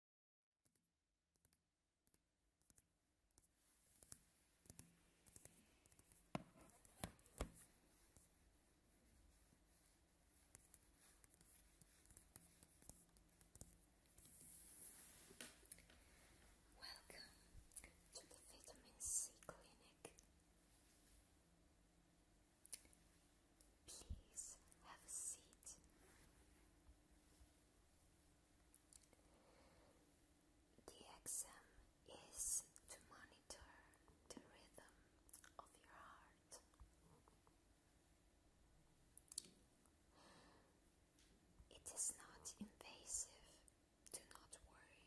Welcome to the Vitamin C Clinic. Please have a seat. The exam is to monitor the rhythm of your heart. It is not invasive, do not worry.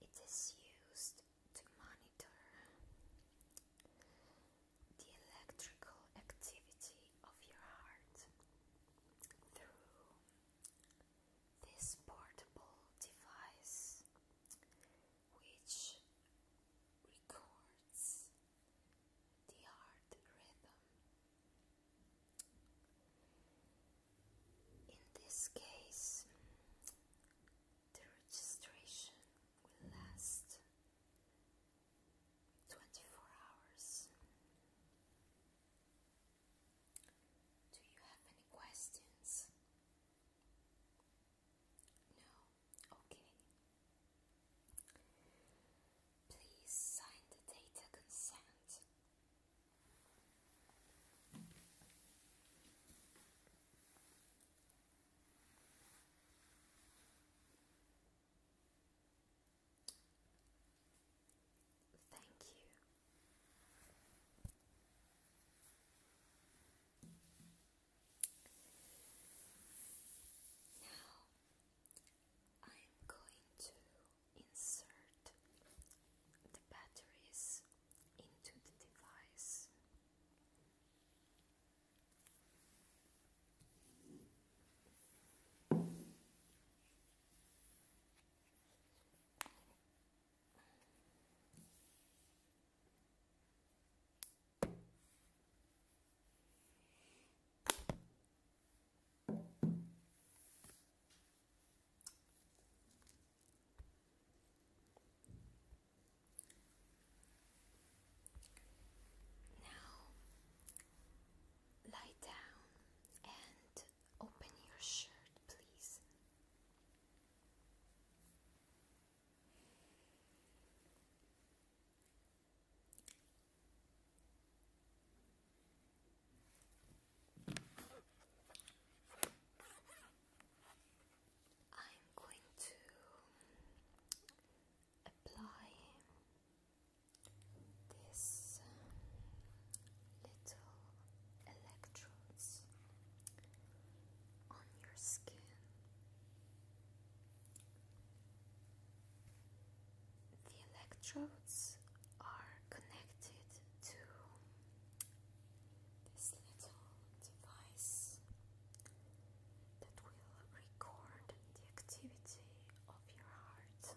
It is used to monitor the electrical activity of your heart through this portable device which records the heart rhythm. In this case, the registration will last 24 hours. Do you have any questions? No? Okay. Please sign the data consent Thank you. Now I am going to insert the batteries into the device. Now lie down and open your shirt, please. I'm going to apply this um, little electrodes on your skin the electrodes are connected to this little device that will record the activity of your heart.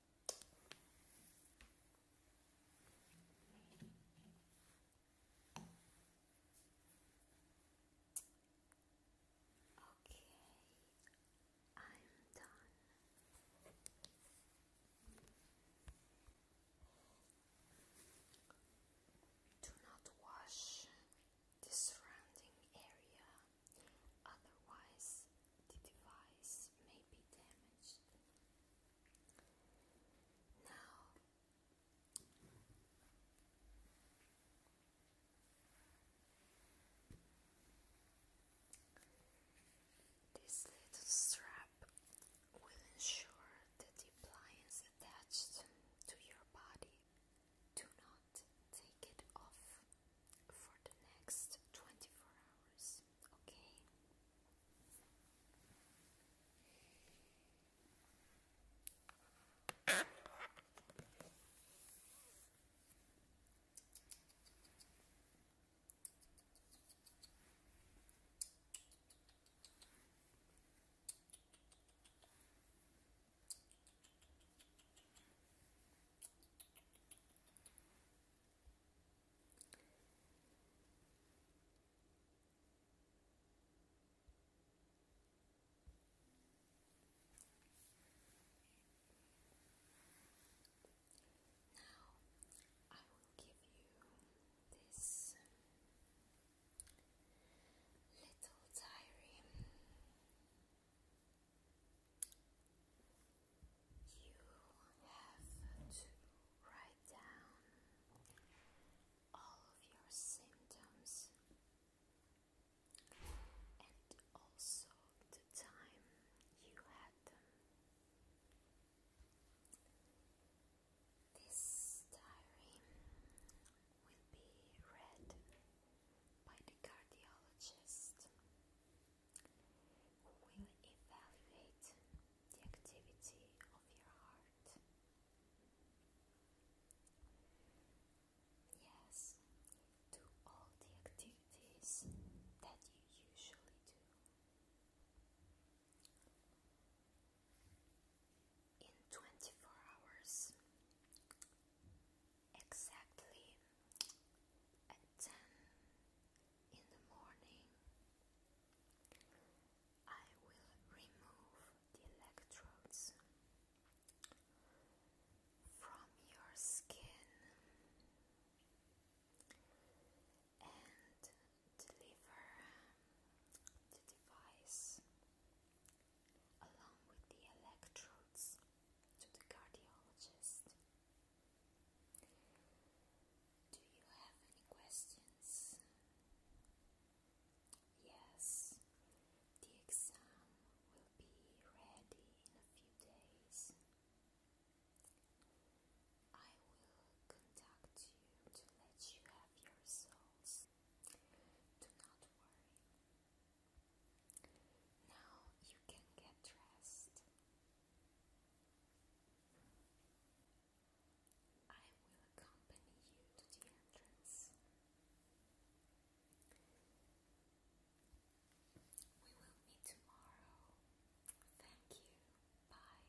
Okay, I'm done. Do not wash the surrounding area, otherwise, the device may be damaged. Now, this little strap will ensure that the appliance attached to your body do not take it off for the next 24 hours, okay? Now I will give you this little diary. You have to write down all of your symptoms and also the time you had them. This diary will be read by the cardiologist who will evaluate the activity of your heart. Yes, do all the activities that you usually do. In 24 hours, exactly at 10 in the morning I will remove the electrodes from your skin and deliver the device along with the electrodes to the cardiologist. Do you have any questions? Yes, the exam will be ready in a few days. I will contact you to let you have your results. Do not worry, now you can get dressed. I will accompany you to the entrance. We will meet tomorrow. Thank you. Bye.